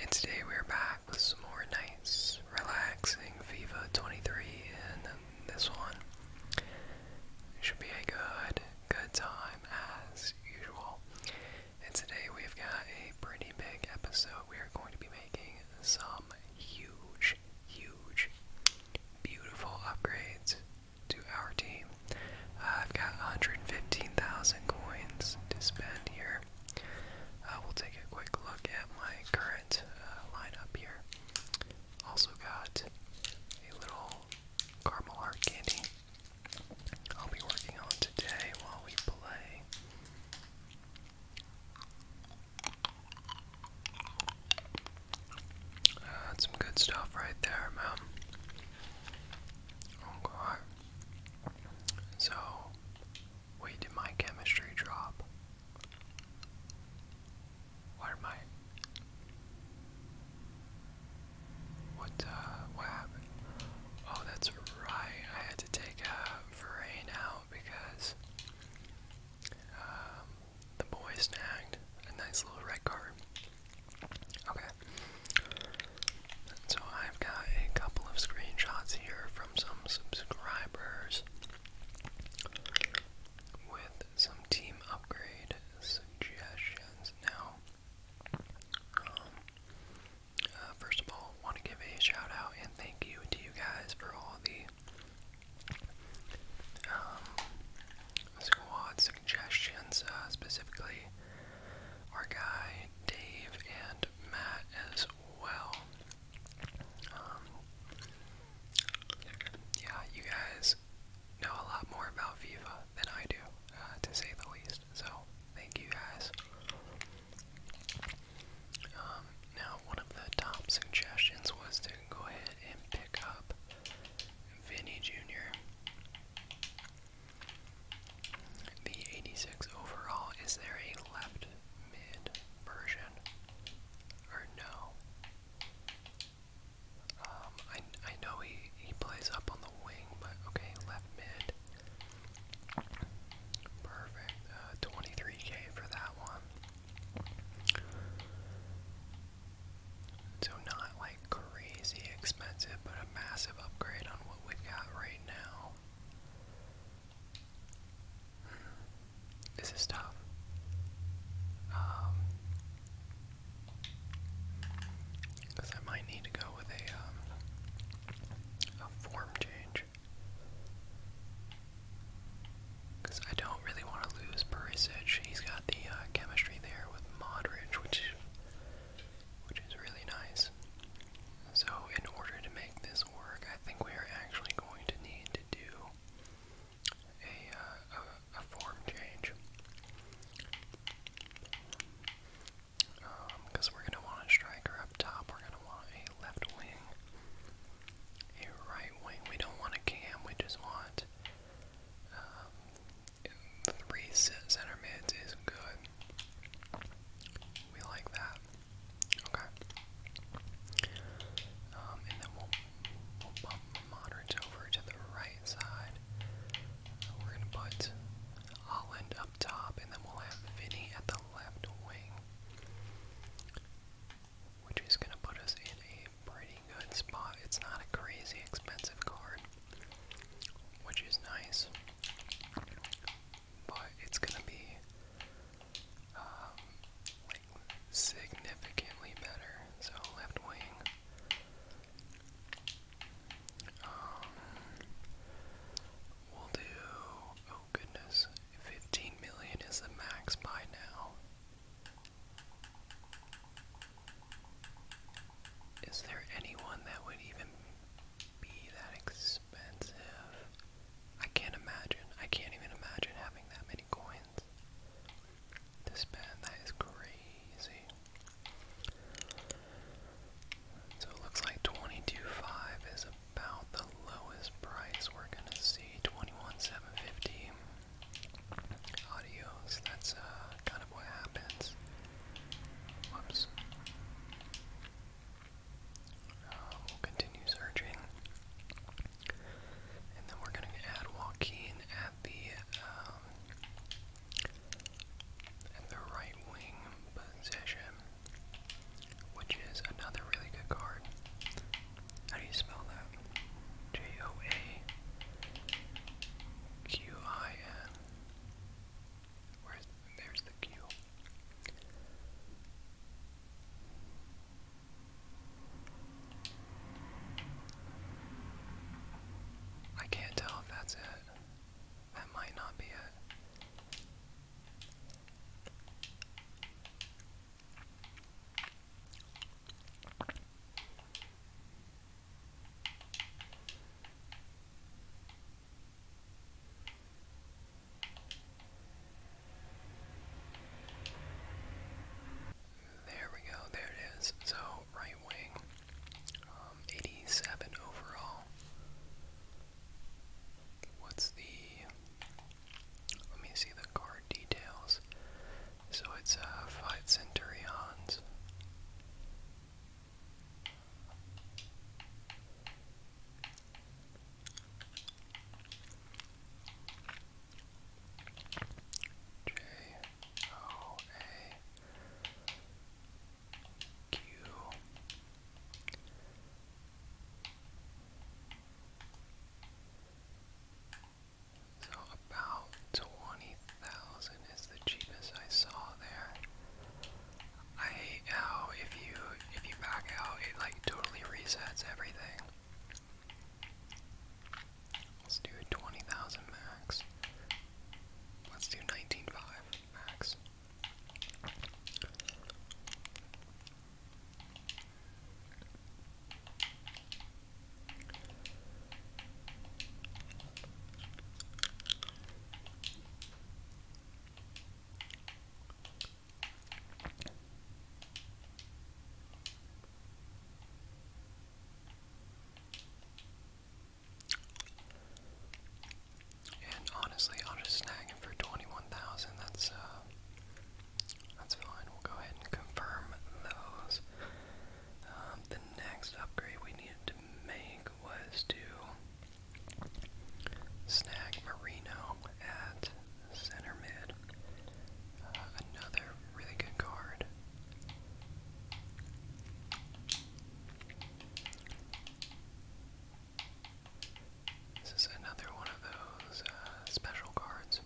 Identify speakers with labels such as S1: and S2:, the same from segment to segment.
S1: And today we're back with some more nice, relaxing FIFA 23, and this one should be a good, good time as usual. And today we've got a pretty big episode. We are going to be making some huge, huge, beautiful upgrades to our team. I've got 115,000 coins to spend here. I uh, will take a quick look at my current uh, lineup here. Also got a little caramel heart candy. I'll be working on today while we play. Uh, some good stuff right there, man. Oh so, wait, did my chemistry drop? What am I? What, uh, what happened? Oh, that's right. I had to take a uh, out because um, the boy snagged a nice little red card. Okay. So I've got a couple of screenshots here from some subscribers with some team upgrade suggestions. Now, um, uh, first of all, want to give a shout out and thank you to you guys for all the um, squad suggestions, uh, specifically our guy Dave and Matt as well. Um, yeah, you guys know a lot more about Viva than I do, uh, to say the least. So, thank you guys. Um, now, one of the top suggestions was to go ahead and pick up Vinny Jr. The 86 overall, is there a left mid version? Or no? Um, I, I know he, he plays up on the wing, but okay, left mid. Perfect. 23k uh, for that one. So, not like crazy expensive, but a massive upgrade on what we got right right This is tough. because um, I might need to go with a um, a form change. Because I don't really want to lose Perisic. He's got the uh, chemistry there with Modric, which which is really nice. So, in order to make this work, I think we are actually going to need to do a, uh, a, form change. Because um, we're going to want a striker up top, we're going to want a left wing, a right wing. We don't want a cam, we just want um, three center mids is good. We like that. Okay. Um, and then we'll, bump Modern's over to the right side. We're going to put Holland up top, and then we'll have Vinny at the left wing. Which is going to put us in a pretty good spot. It's not a crazy expensive card, which is nice but it's gonna be um, significantly better. So left wing. Um, we'll do. Oh goodness, fifteen million is the max by now. Is there anyone that would even be that expensive. I can't imagine. I can't even imagine having that many coins This spend. That is crazy. So it looks like twenty-two five is about the lowest price we're gonna see. 21.750. Adios. That's uh, kind of what happens Whoops. we'll continue searching. And then we're going to add Joaquin at the um, at the right wing position, which is another really good card. How do you spell that? J O A Q I N. Where's there's the Q? I can't tell if that's it. That might not be it. There we go, there it is. So, right wing, um, 87 overall. What's the. Let me see the card details. So, it's a uh, five Centurions. J O A Q so about twenty thousand is the cheapest I saw there. I hate oh, how if you if you back out it like totally resets everything. Let's do 20,000 max. Let's do 19.5 max. And honestly, i am just snagging for 21,000. That's uh that's fine. We'll go ahead and confirm those. Um, the next upgrade we needed to make was to snag Marino at center mid. Uh, another really good card. This is another one of those uh, special cards.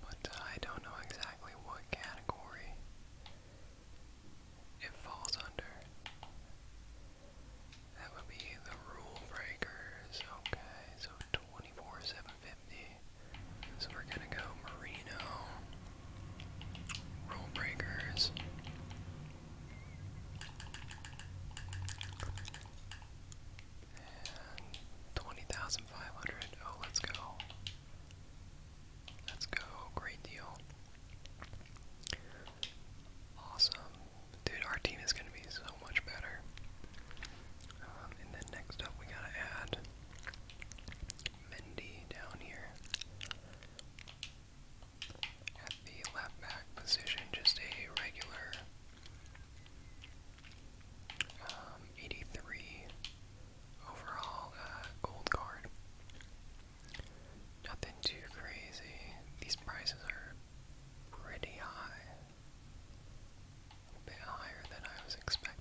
S1: But uh, I don't know exactly exactly what category it falls under. That would be the rule breakers. Okay, so 24 750. So we're gonna go Merino, rule breakers. 20,500. Oh, let's go. Let's go. Great deal. Awesome. Dude, our team is going to be so much better. Um, and then next up, we got to add Mendy down here at the left back position. Just a regular um, 83 overall uh, gold card. Nothing too crazy. These prices are pretty high. A bit higher than I was expecting.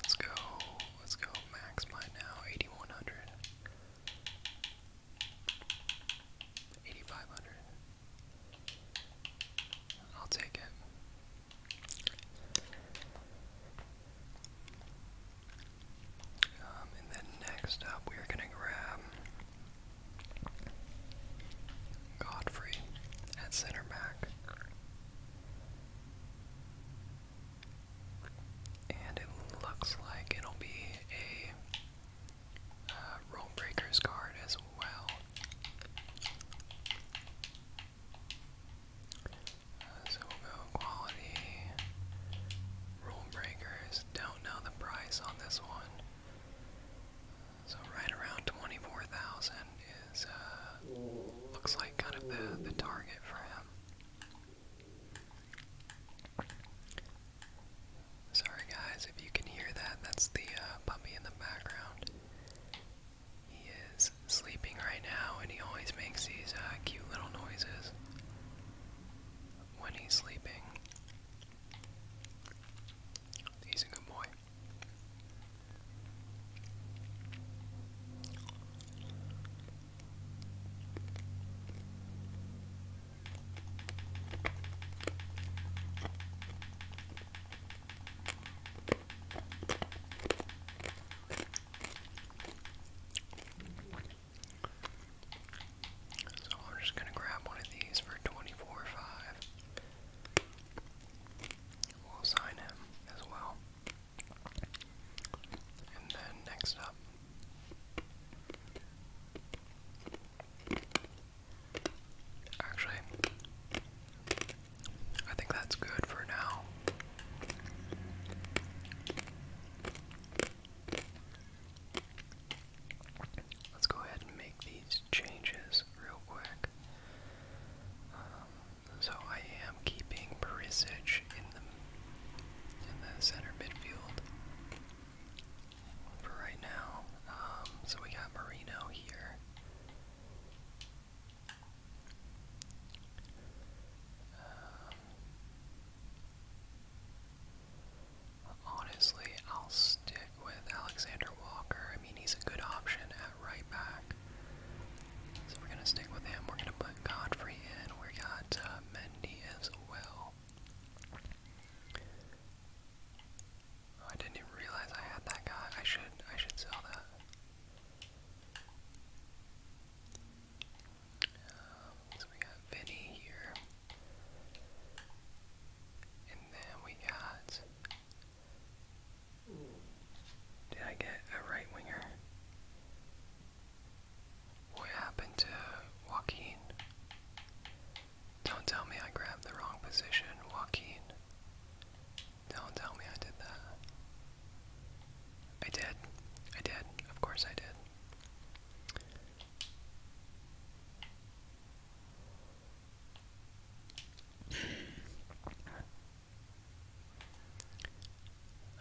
S1: Let's go, let's go max mine now, 8100, 8500. I'll take it. Um, and then next up, we're gonna grab Godfrey at center back. And it looks like it'll be a uh, Rule Breakers card as well so we'll go quality. Rule breakers. Don't know the price on this one. So right around twenty-four thousand is uh, looks like kind of the the target for him. Sorry guys, if you can hear that, that's the uh, puppy in the background. He is sleeping right now, and he always makes these uh, cute little noises when he's sleeping. He's a good boy. So I'm just going to grab one of these for 24 5. We'll assign him as well. And then next up. Actually, I think that's good for now. Let's go ahead and make these changes real quick. Um, so I am keeping Perisic in the in the center midfield for right now. Um, so we got Marino here. Um, honestly, I'll stick with Alexander Walker. I mean, he's a good option at right back. So we're going to stick with him. We're going to put Godfrey in. We got uh, Mendy as well. Oh, I didn't even realize I had that guy. I should I should sell that. Um, so we got Vinny here. And then we got Did I get a right winger? What happened to Joaquin? Don't tell me I grabbed the wrong position, Joaquin. Don't tell me I did that. I did. I did. Of course I did.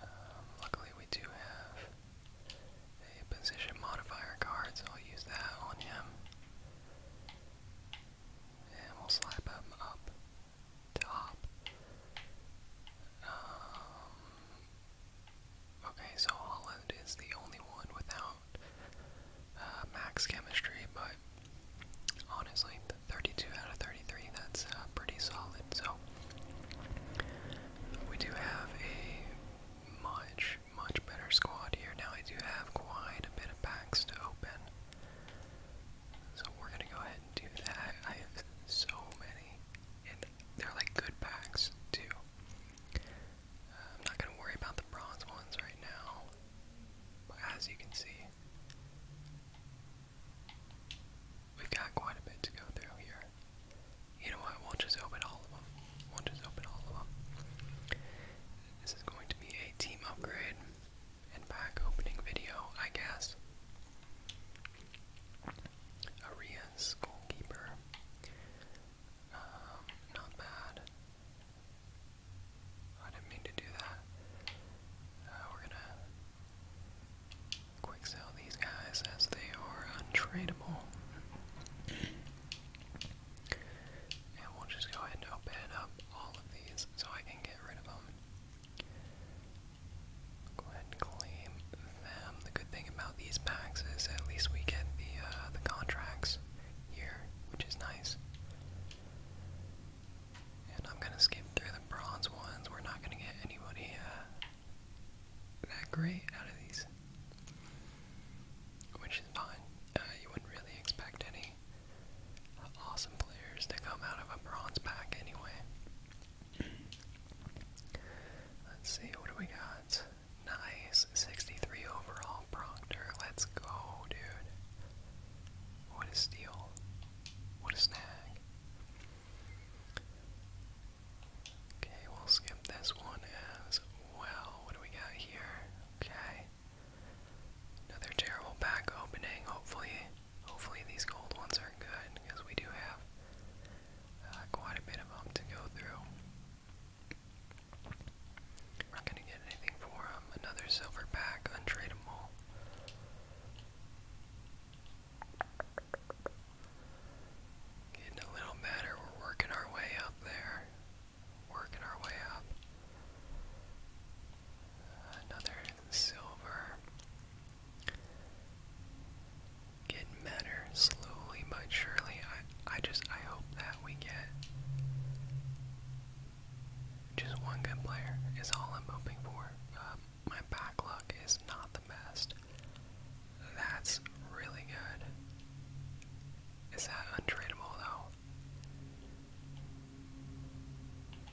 S1: Um, luckily, we do have a position modifier card, so I'll use that on him and we'll slap him up top. Um, okay, so Holland is the only one without uh, max chemistry, but honestly, 32 out of 33, that's uh, pretty solid. So we do have a much, much better squad here. Now I do have quite a bit of packs to open. So we're gonna go ahead and do that. I have so many, and they're like good packs too. Uh, I'm not gonna worry about the bronze ones right now, but as you can see, we've got quite a bit to go through here. You know what? We'll just open all of them. We'll just open all of them. This is going to be a team upgrade and pack opening video, I guess. Arias goalkeeper. Um, not bad. I didn't mean to do that. Uh, we're gonna quick sell these guys as they are untradeable. And we'll just go ahead and open up all of these so I can Go ahead and claim them. The good thing about these packs is at least we get the uh, the contracts here, which is nice. And I'm gonna skip through the bronze ones. We're not gonna get anybody uh, that great out of these, which is fine. Uh, you wouldn't really expect any awesome players to come out of a bronze pack anyway. Let's see, what do we got? Nice, 63 overall Proctor. Let's go, dude. What a steal. What a snag. Okay, we'll skip this one as well. What do we got here? Okay. Another terrible back opening. Hopefully, hopefully these gold ones are good because we do have uh, quite a bit of them to go through. not gonna get anything for them. Another silver pack, untradeable. Getting a little better. We're working our way up there. Working our way up. Another silver. Getting better slowly but surely. I I just I hope that we get just one good player is all I'm hoping for. Um, my back luck is not the best. That's really good. Is that untradeable though?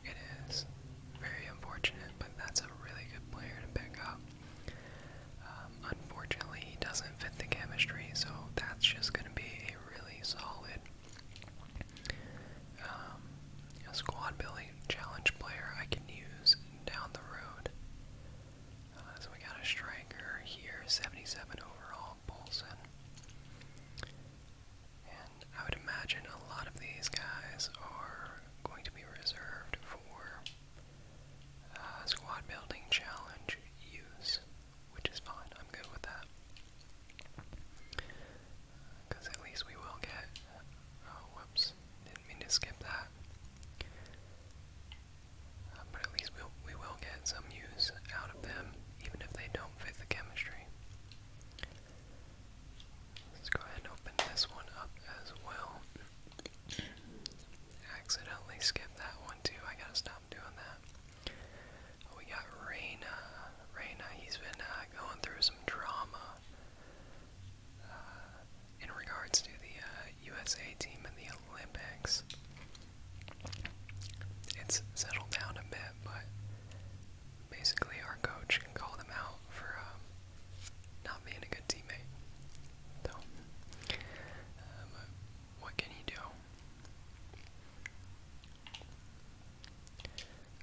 S1: It is very unfortunate, but that's a really good player to pick up. Um, unfortunately, he doesn't fit the chemistry, so that's just going to be a really solid um, squad building challenge player I can use down the road. Uh, so we got a striker here, 77 overall, Bolson. I would imagine a lot of these guys are going to be reserved for uh, squad building challenge use, which is fine. I'm good with that. Because at least we will get. Uh, whoops. Didn't mean to skip that. Uh, but at least we we will get some use out of them, even if they don't fit the chemistry. Let's go ahead and open this one up as well. Accidentally skipped that one too. I gotta stop doing that. Oh, we got Reyna. Reyna, he's been uh, going through some drama uh, in regards to the USA uh, team in the Olympics. It's settled down a bit, but basically our coach can call them out for um, not being a good teammate. So, um, what can he do?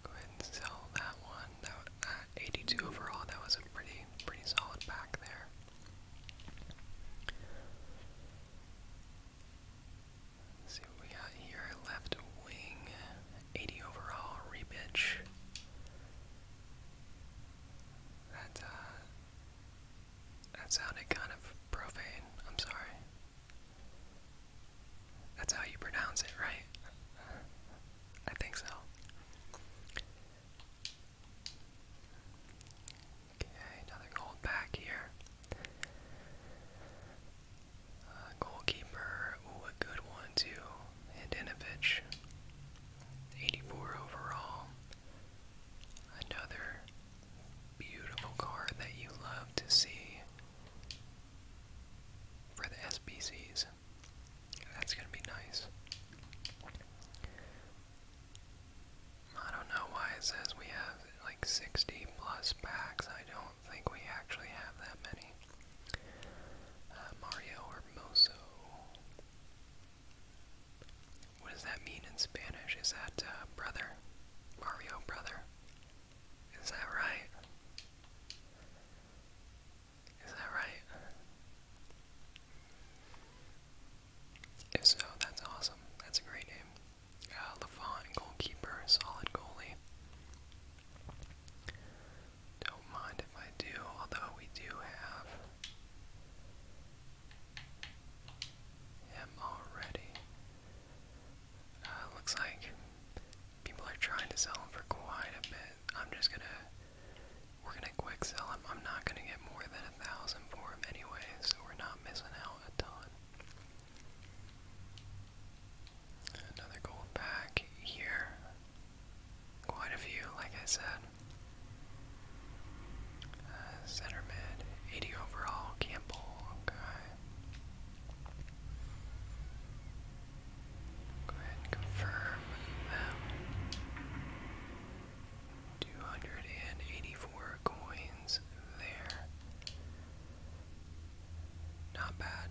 S1: Go ahead and sell that one. That, that 82 overall. That was a pretty, pretty solid pack there see what we got here. Left wing, 80 overall, repitch. That, uh, that sounded kind of profane. I'm sorry. That's how you pronounce it, right? I think so. Okay, another gold back here. Uh, goalkeeper, ooh, a good one too. Hadinovich, 84 overall. Another beautiful card that you love to see for the SBCs. That's gonna be nice. I don't know why it says we have like 60 plus packs. I don't don't think we actually have that many. Uh, Mario Hermoso. What does that mean in Spanish? Is that uh, brother? Mario brother? Is that right? Is that right? If so, that's awesome. That's a great name. Uh, goalkeeper, solid goalie. Don't mind if I do, although we do have him already. Uh, looks like people are trying to sell him for quite a bit. I'm just gonna, we're gonna quick sell him. I'm not gonna get more than a thousand for him anyway, so we're not missing out a ton. Another gold back here. Quite a few, like I said. Uh, center mid, 80 overall, Campbell, okay. Go ahead confirm them. 284 coins there. Not bad.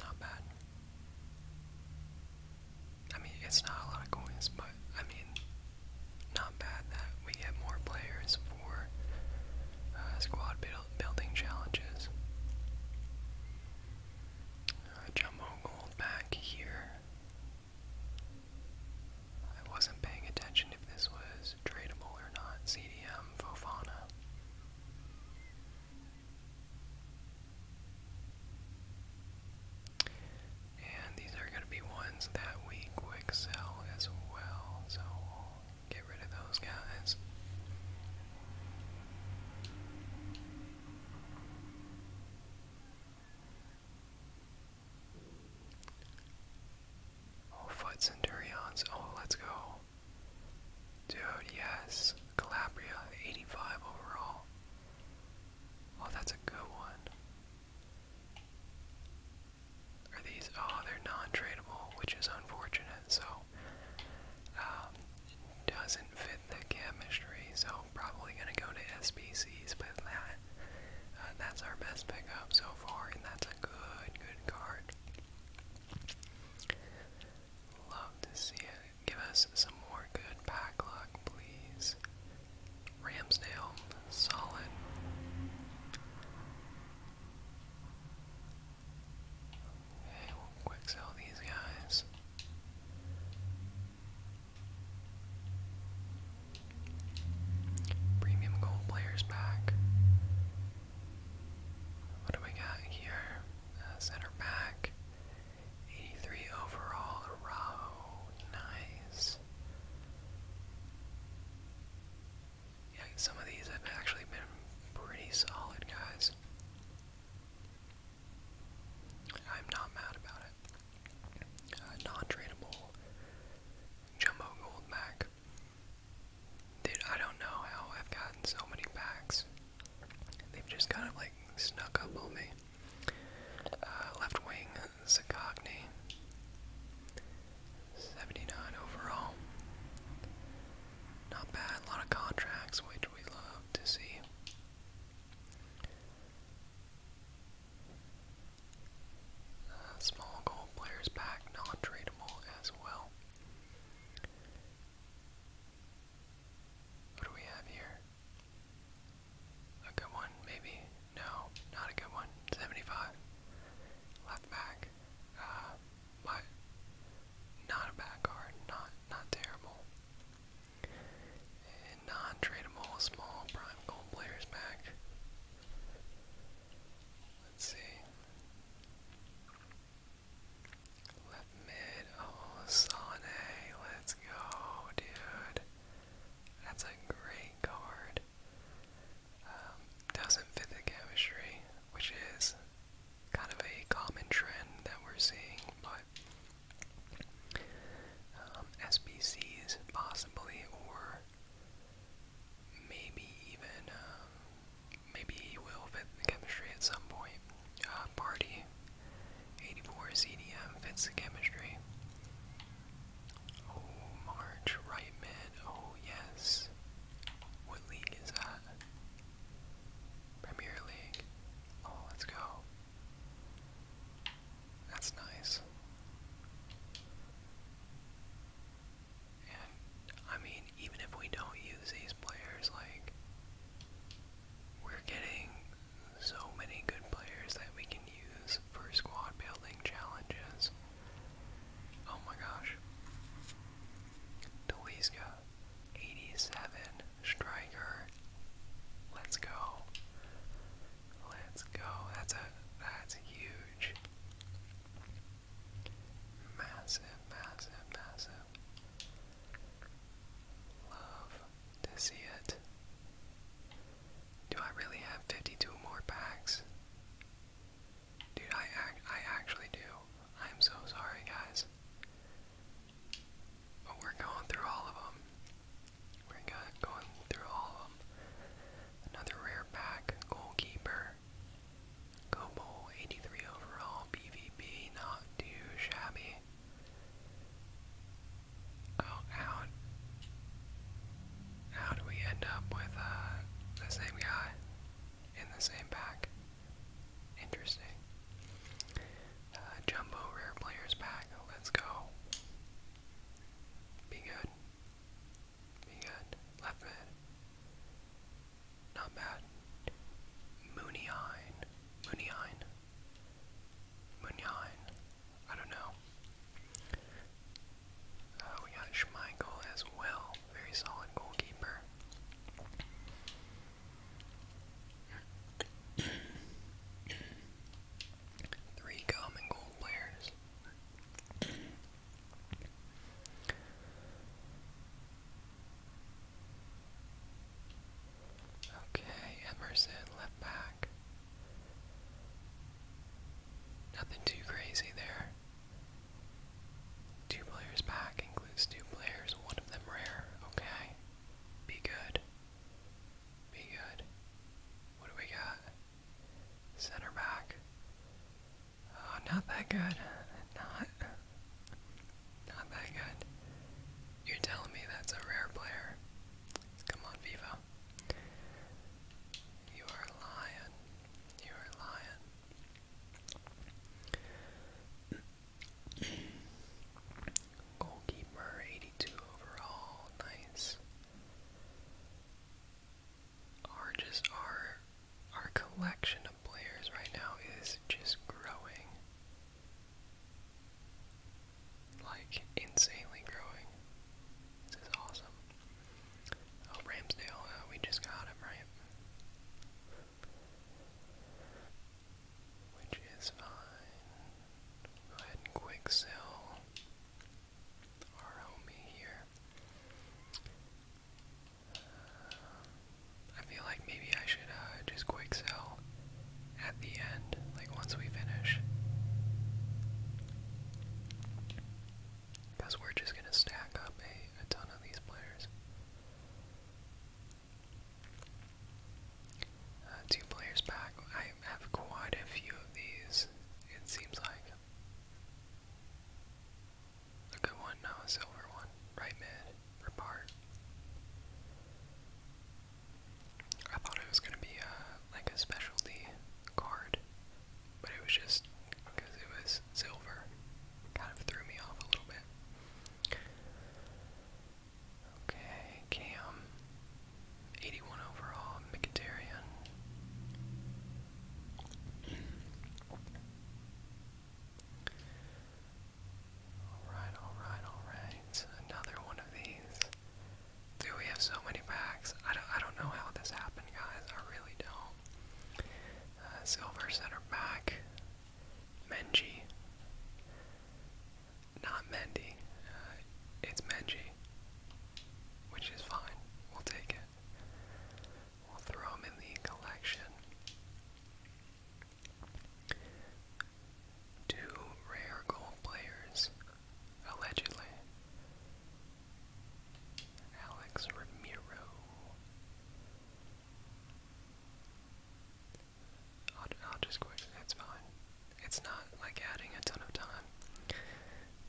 S1: Not bad. I mean, it's not a lot of coins, but I mean, not bad that we get more players for uh, squad building challenges. Uh, jumbo gold back here. I wasn't paying attention if this was is or not. CDM, Fofana. And these are going to be ones that we quick sell as well, so get rid of those guys. Oh, foot centurions. Oh, let's go. Dude, yes. Calabria, 85 overall. Oh, that's a good one. Are these? Oh, they're non-tradable, which is unfortunate. So, um, it doesn't fit the chemistry. So, probably gonna go to SBCs. with that, uh, that's our best pickup so far, and that's a good, good card. Love to see it. Give us some more good pack luck, please. Ramsdale, solid. Okay, we'll quick sell these guys. Premium gold players back. What do we got here? Uh, center back. 83 overall, Araujo. Nice. Yeah, some of these have actually been pretty solid, guys. I'm not mad about it. Uh, non-tradable Jumbo Goldback. Dude, I don't know how I've gotten so many packs. They've just kind of like snuck up on me. Uh, left wing, Zagogny. 79 overall. Not bad, a lot of contracts, which we love to see. Uh, small goal players pack, non-tradable as well. What do we have here? A good one, maybe? No, not a good one. 75. Left back. Uh, not a bad card. Not, not terrible. And non-tradable, small prime gold players back. Let's see. Left mid. Oh, Sane. Let's go, dude. That's a great card. Um, doesn't fit the chemistry, which is kind of a common trend that we're seeing, but um, SPCs, possibly, or maybe even um, Maybe he will fit the chemistry at some point. Uh, party 84 ZDM fits the chemistry. Oh, March, right mid. Oh, yes. What league is that? Premier League. Oh, let's go. That's nice. And I mean, even if we don't use these players, like we're getting so many good players that we can use for squad building challenges. Oh my gosh. Deliska, 87, striker. Let's go. Let's go. That's a that's huge. Massive, massive, massive. Love to see it. Do I really have 52 more packs? Dude, I, act, I actually do. I'm so sorry, guys. But we're going through all of them. We're going through all of them. Another rare pack, goalkeeper there. 83 overall, BVB, not too shabby. Oh, how, how do we end up with uh, the same guy in the same pack? Interesting. Uh, jumbo rare players pack, let's go. Be good. Begun. Left mid. Not bad. Mooneyhine. Mooneyhine. Mooneyhine. I don't know. Uh, we got Schmeichel as well. Very solid goalkeeper. Three common goal Okay, Emerson, left back. Nothing too crazy there. Two players back includes two players, one of them rare. Okay. Be good. Be good. What do we got? Center back. Oh, not that good. Not, not that good. You're telling me that's a rare player. Come on, Viva. You are lying. You are lying. Goalkeeper, 82 overall. Nice are just our our collection of players right now is just growing. Like insanely growing. This is awesome. Oh, Ramsdale, uh, we just got him, right? Which is fine. Go ahead and quick sell our homie here. I feel like maybe I should uh, just quick sell at the end, like once we finish. Because we're just going to stack up a, ton of these players. Uh, two players back. I have quite a few of these, it seems like. A good one, no, a silver one. Right mid, repart. I thought it was gonna be a uh, like a specialty card, but it was just because it was silver. Kind of threw me off a little bit. Okay, Cam. 81 overall, Mkhitaryan. Alright, alright, alright. Another one of these. Dude, we have so many packs. I don't, I don't know how this happened, guys. I really don't. Uh, silver center back. Menji. Not Mendy. Uh, it's Menji. Which is fine. We'll take it. We'll throw them in the collection. Two rare gold players, allegedly. Alex Ramiro. I'll, I'll just quit. It's fine. It's not like adding a ton of time.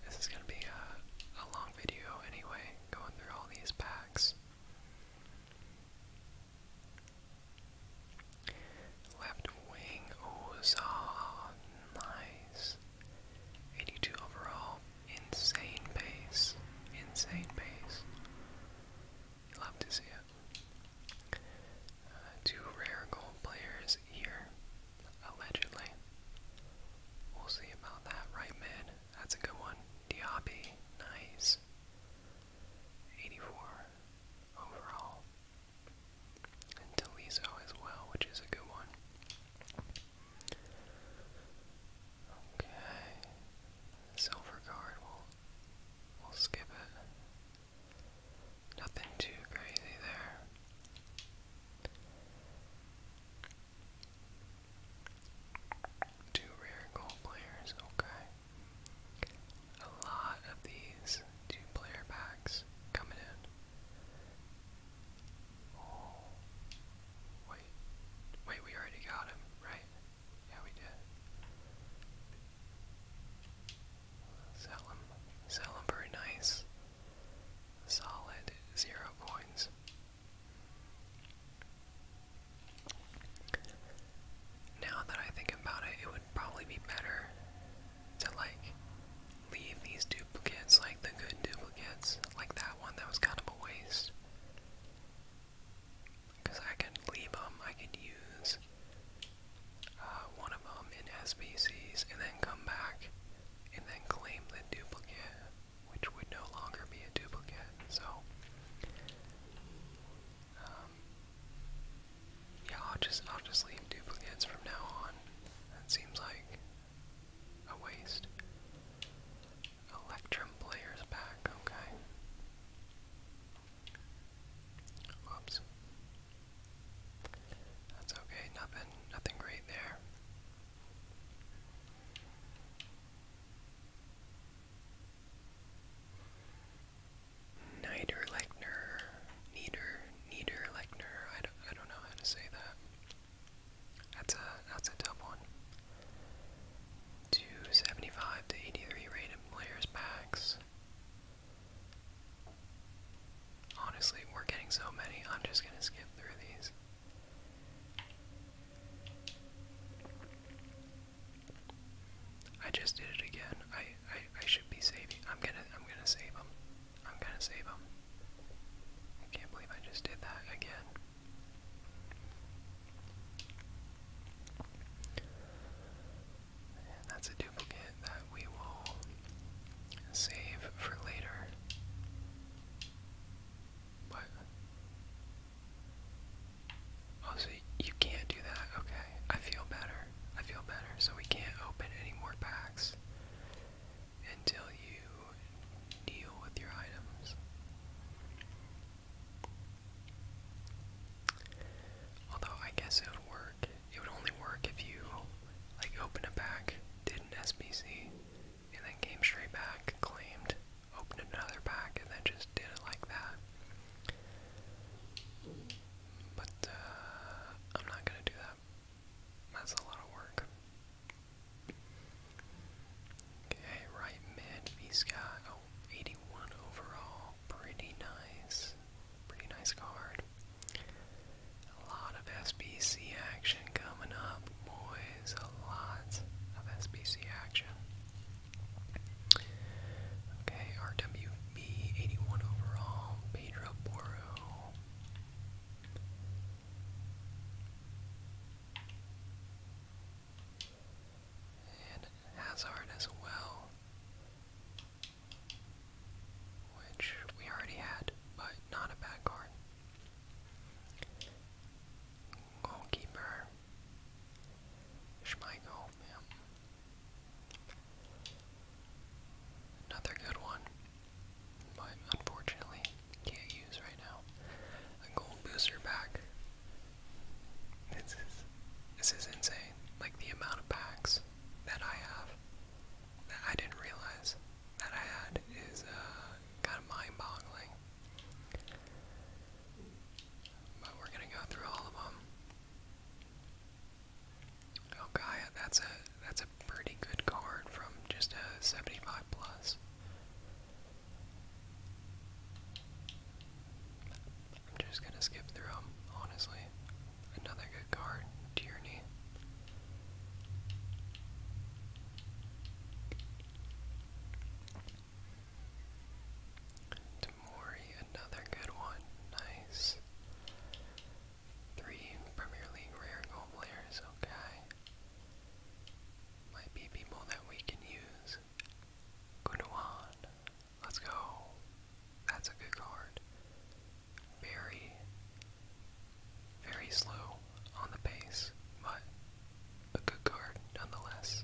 S1: This is going to be a, a long video anyway, going through all these packs. Left wing Ozan, nice. 82 overall, insane pace, insane pace. love to see it. Uh, two rare gold players here, allegedly. We'll see about that right mid. That's a good one. Diaby, nice. 84 overall. And as well, which is a good one. Okay. Silver guard, we'll, we'll skip it. Nothing too crazy there. Two rare gold players, okay. A lot of these two player packs coming in. Oh, wait. Wait, we already got him, right? Yeah, we did. Sell him. Sell him for nice, solid zero coins. Now that I think about it, it would probably be better to like leave these duplicates, like the good duplicates, like that one that was kind of a waste. Because I could leave them, I could use uh, one of them in SPCs, and then come back and then claim the duplicate which would no longer be a duplicate. So, um, yeah, I'll just I'll just leave duplicates from now on. That seems like a waste. Electrum players back, okay. Whoops. That's okay, nothing nothing great there. Niederlechner, Nieder, Niederlechner. I don't, I don't know how to say that. That's a that's a tough one. 275 to 83 rated players packs. Honestly, we're getting so many. I'm just gonna skip through these. I just did it again. I I, should be saving. I'm gonna I'm gonna save them. I'm gonna save them. I can't believe I just did that again. that's a duplicate that we will save for later. Oh, so you can't do that. Okay. I feel better. I feel better. So we can't open any more packs until you deal with your items. Although I guess it would work. It would only work if you like opened a pack, did an SBC, and then came straight back, claimed, opened another pack, and then just did it like that. But uh, I'm not gonna do that. That's a lot of work. Okay, right mid. He's got oh, 81 overall. Pretty nice. Pretty nice card. A lot of SBC action coming up boys a lot of SBC action. Okay, RWB 81 overall, Pedro Borro. And Hazard as well, which we already had, but not a bad card. Goalkeeper. Schmeichel, yeah. Another good one, but unfortunately can't use right now. A gold booster pack. This is this is insane. Like the amount of packs that I have that I didn't realize that I had is uh, kind of mind-boggling. But we're going to go through all of them. Oh, Gaia, that's a, that's a pretty good card from just a 75 plus. I'm just going to skip through them, honestly. Another good card, Tierney. Demori, another good one. Nice. Three Premier League rare goal players, okay. Might be people that we can use. Gunawan. Let's go. That's a good card. Barry. Very slow on the pace, but a good card nonetheless.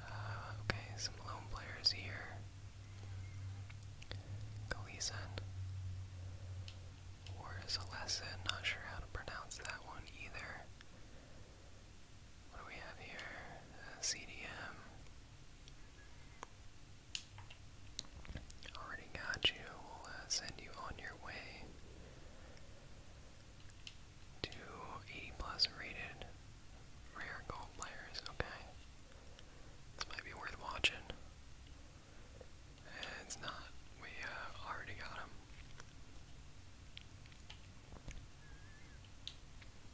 S1: Uh, okay, some lone players here. Galeason. Or is Alessa, not sure how to pronounce that one either. What do we have here? Uh, CDM. Already got you. Uh, send you on your way. Two E plus rated rare gold players, okay. This might be worth watching. It's not. We uh, already got them,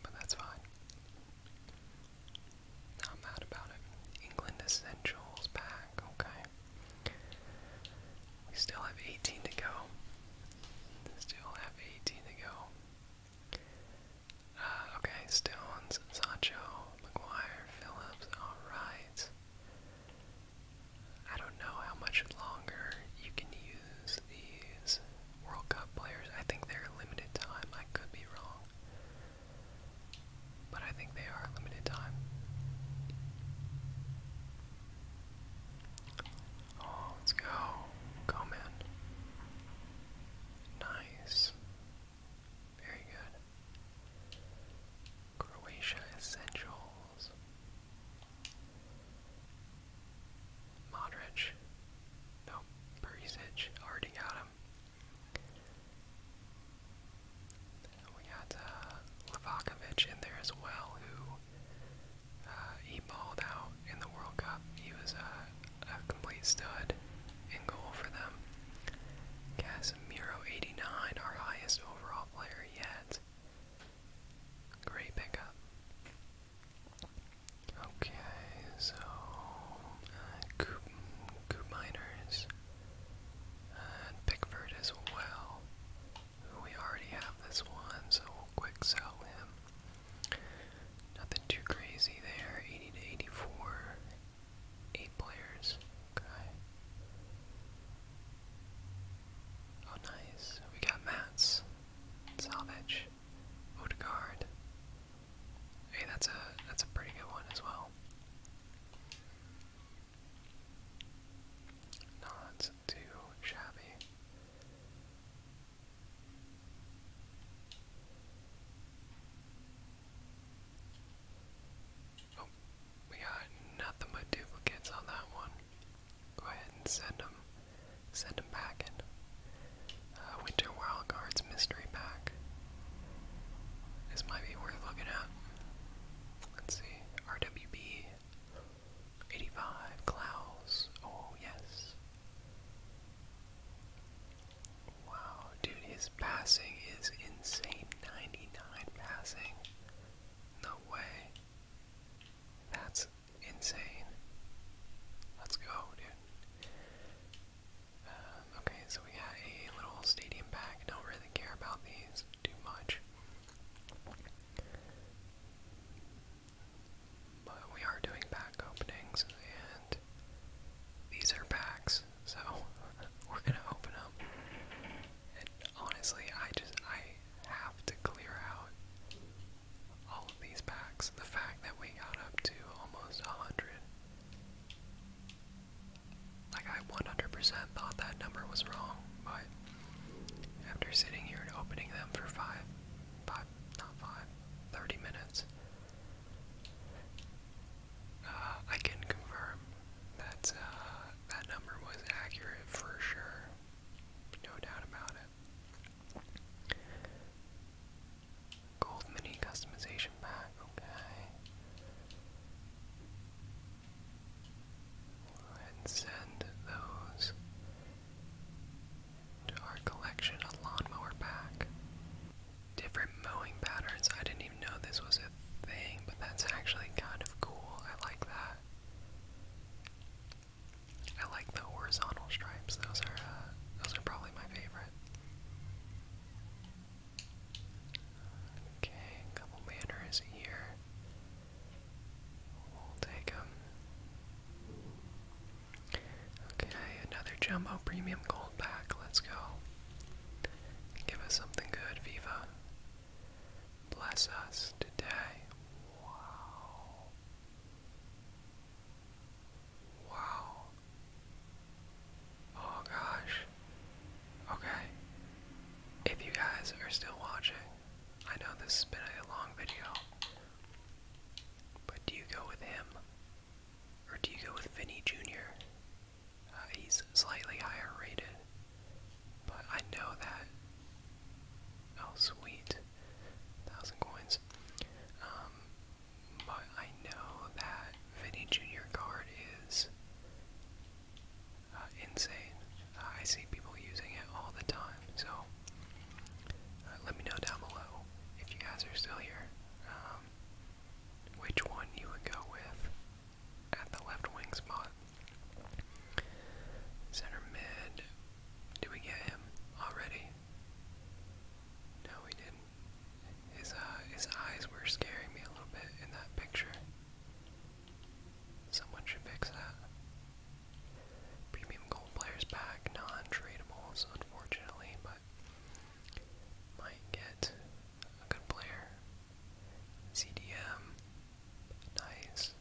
S1: But that's fine. Not mad about it. England Essentials pack, okay. We still have 18 to go. Still have 18 to go. Uh, okay, Stones, Sancho, McGuire, Phillips, alright. I don't know how much longer you can use these World Cup players. I think they're limited time. I could be wrong but I think they are limited time. Oh, let's go. Go, man. Nice. Very good. Croatia Essentials. Modric. Nope. Perisic. Already got we had uh, in there as well, who uh, he balled out in the World Cup. He was uh, a complete stud in goal for them. Casemiro, 89, our highest overall player yet. Great pickup. Okay, so uh, Coop, Miners. And Pickford as well. We already have this one, so we'll quick sell him. Nothing too crazy there. 80 to 84. Eight players. Okay. Oh, nice. We got Mats. Salvage. Odegaard. Hey, that's a that's a pretty good one as well. Not too shabby. Oh, we got nothing but duplicates on that one. Go ahead and send them, send them back uh, Winter Wild mystery pack. This might be worth looking at. Let's see. RWB 85 Klaus. Oh, yes. Wow, dude, his passing is insane. 99 passing. No way. That's insane. Let's go, dude. Um, okay, so we got a little stadium pack. Don't really care about these too much. But we are doing pack openings, and these are packs, so we're gonna open up. And honestly, I just I have to clear out all of these packs. The fact that we got up to almost a hundred like, I 100 thought that number was wrong, but after sitting here and opening them for five, five, not five, minutes, uh, I can confirm that uh, that number was accurate for sure. No doubt about it. Gold mini customization pack, okay and send those to our collection a lawnmower pack. Different mowing patterns. I didn't even know this was a thing, but that's actually kind of cool. I like that. I like the horizontal stripes. Those are uh, those are probably my favorite. Okay, a couple manners here take him. Okay, another jumbo premium gold pack. Let's go. Give us something good, Viva. Bless us today. Wow. Wow. Oh gosh. Okay. If you guys are still watching, I know this has been a long video, but do you go with him? Or do you go with Vinny Jr.? Uh, he's slightly higher rated, but I know that. Oh, sweet. Thousand coins. Um, but I know that Vinny Jr. card is uh, insane. I see people using it all the time, so uh, let me know down below if you guys are still here um, which one you would go with at the left wing spot. Center mid, do we get him already? No, we didn't. His uh, his eyes were scaring me a little bit in that picture. Someone should fix that. Premium gold players back, non-tradables, unfortunately, but might get a good player. CDM, nice.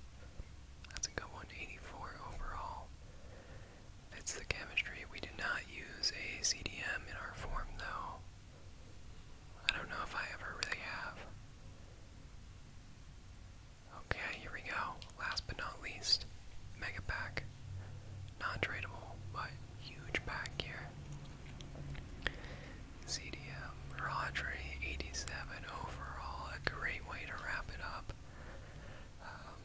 S1: That's a good one. 84 overall. It's the chemistry. We did not use a CDM in our form though. I don't know if I ever really have. Okay, here we go. Last but not least, Mega Pack. Non tradable, but huge pack here. CDM, Rodri, 87 overall. A great way to wrap it up. Um,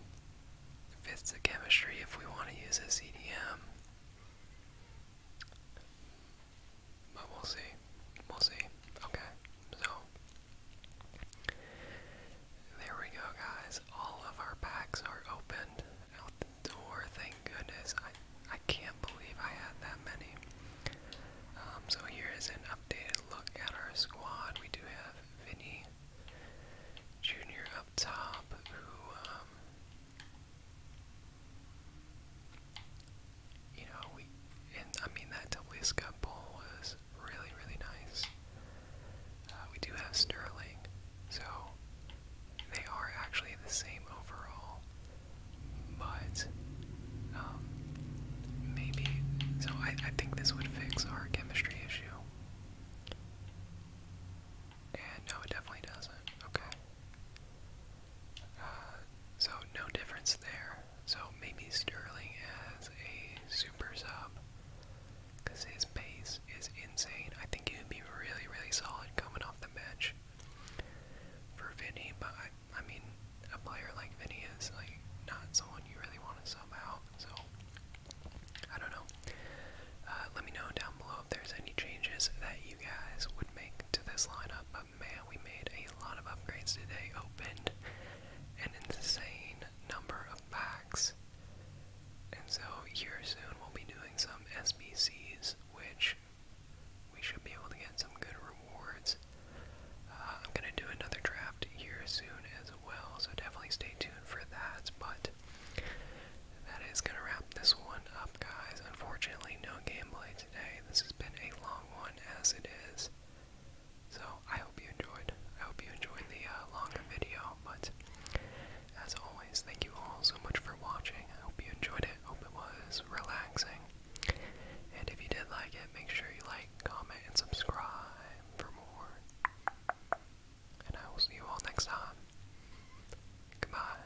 S1: fits the chemistry if we want to use a CDM. But we'll see. We'll see. Okay. So there we go, guys. All of our packs are opened out the door. Thank goodness. I I can't believe I had that many. Um, so here is an updated look at our squad. We do have Vinny Jr. up top, who um, you know, we and I mean that Tablisca bowl was really, really nice. Uh, we do have Sterling, so they are actually the same overall, but um, maybe. So I, I think this would fix our chemistry issue. And no, it definitely doesn't. Okay. Uh, so no difference there. So maybe Sterling as a super sub because his pace is insane. I think he would be really, really solid coming off the bench for Vinny. But I, mean, a player like Vinny is like not someone you really want to sub out. So I don't know. Uh, let me know down below if there's any changes that you guys would make to this lineup. Um, man, we made a lot of upgrades today. Opened an insane number of packs. And so here soon we'll be doing some SBCs, which we should be able to get some good rewards. Uh, I'm going to do another draft here soon as well, so definitely stay tuned for that. But that is going to wrap this one up, guys. Unfortunately, no gameplay today. This has been a long one as it is. So I hope you enjoyed. I hope you enjoyed the uh, longer video. But as always, thank you all so much for watching. I hope you enjoyed it. Hope it was relaxing. And if you did like it, make sure you like, comment, and subscribe for more. And I will see you all next time. Goodbye.